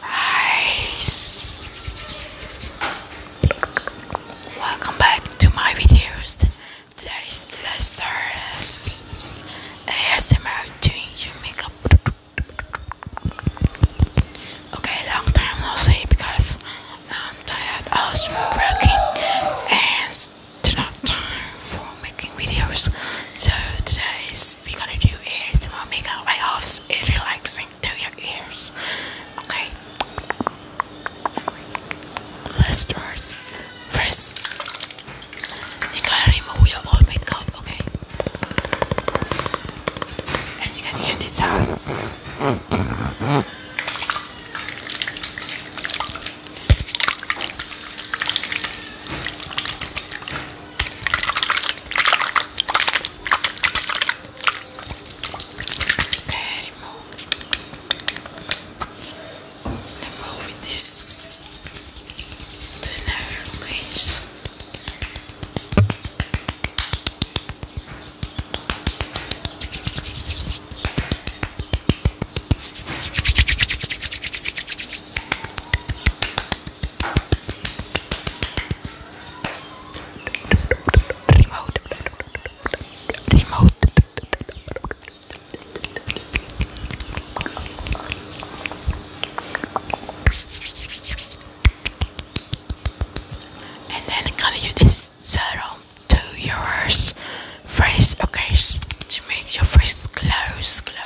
Hi, welcome back to my videos. Today's Lester ASMR doing you makeup. Okay, long time no see because I'm tired. I was working and did not time for making videos. So today's we're gonna do ASMR makeup. I hope it's relaxing to your ears. Okay, let's start. First, you gotta remove your old makeup, okay? And you can hear the sounds. Okay, remove. Remove this to another place. And then I'm gonna use this serum to your face, okay, to make your face close, close.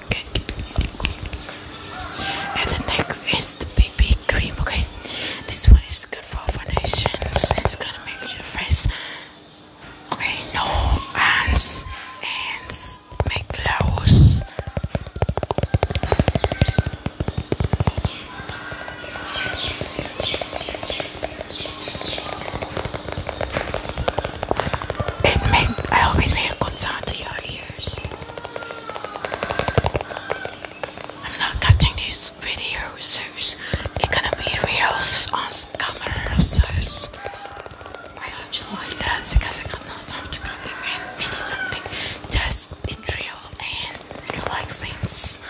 And the next is the BB cream. Okay, this one is good for foundations. It's gonna make your face okay, no ants, ants make clothes. It makes I I'm not cutting these videos. It's gonna be reels on camera. So I hope this because I got no time to cut them in. I something just in real and relaxing. This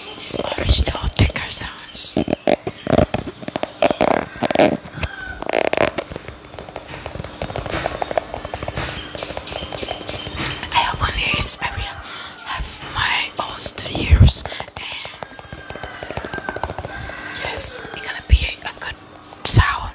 this ticker sounds. I have one years, I have my own studios and yes, it's gonna be a good sound.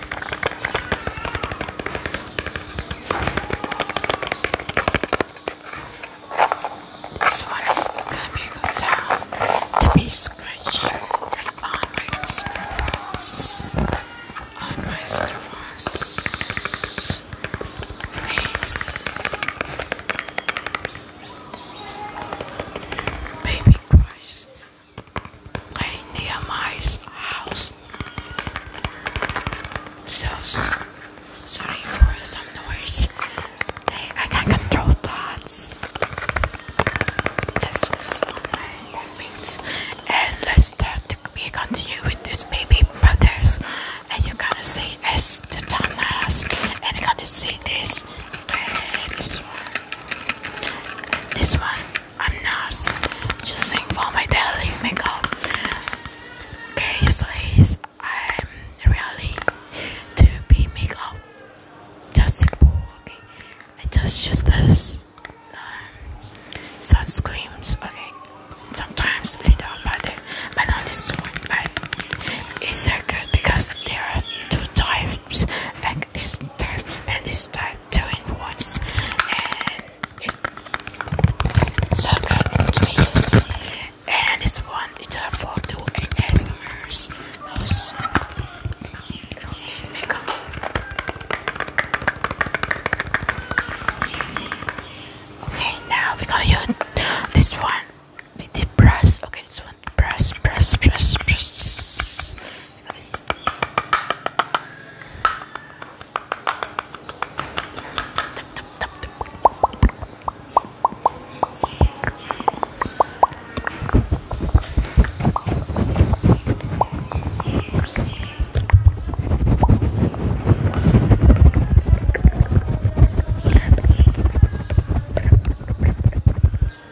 This one is gonna be a good to be scratching on my screwballs. On my screwballs. Please. Baby Christ. Kay Nehemiah's house. So sorry for some noise. I can't control thoughts. Just focus on my things. And let's start to be continue this baby brothers. And you're gonna see as and you're gonna see this this one I'm not using for my daily makeup. Okay, ladies, I'm really to be makeup. Just simple, okay. I just use this um, okay. Sometimes I don't but but not this one, it's so good because there are two types times like it's and this time doing once and it so good and it's one it's a for two ASMRs okay now we're going this one with the brush okay this one. Press, press, press, press.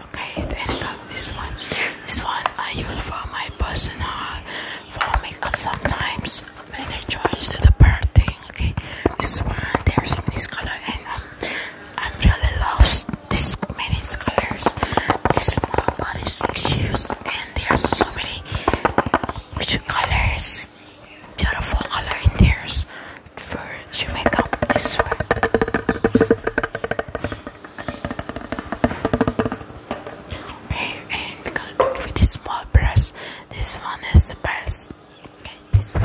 Okay, then got this one. This one I use for my personal for makeup sometimes when I choose to the party. Okay, this one there's in this color and um, I'm really loves this many colors. This for body shoes and there's so many which colors, beautiful color in theirs for to make up this one. Okay, we're gonna do with this small brush. This one is the best. Okay, this one.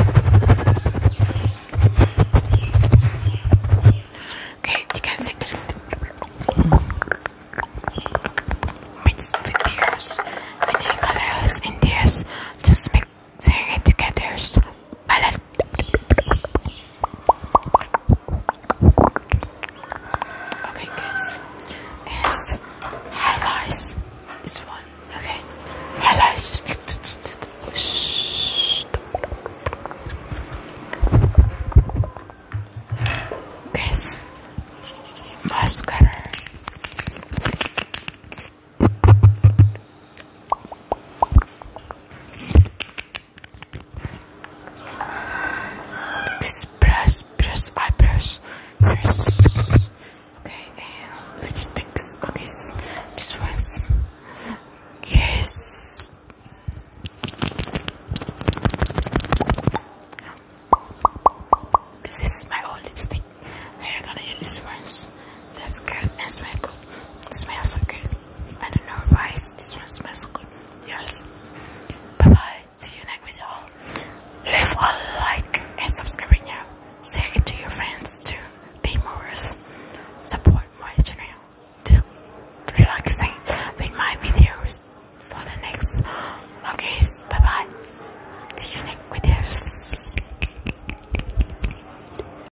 Okay, you can see this. Mix videos, many colors in this. Just together. Palette Okay, guys. It's highlights. This one. Okay. Highlights. Guys. Mascara. Just press, press, I press, press. Okay, and lipsticks. Okay, this one's kiss. This is my old lipstick. I'm gonna use this ones. That's good and smell good. It smells so good. I don't know if I this one good. Yes. Bye bye. See you next video. Leave a like and subscribe right it to your friends to be more support my channel to relaxing with my videos for the next okay bye bye see you next videos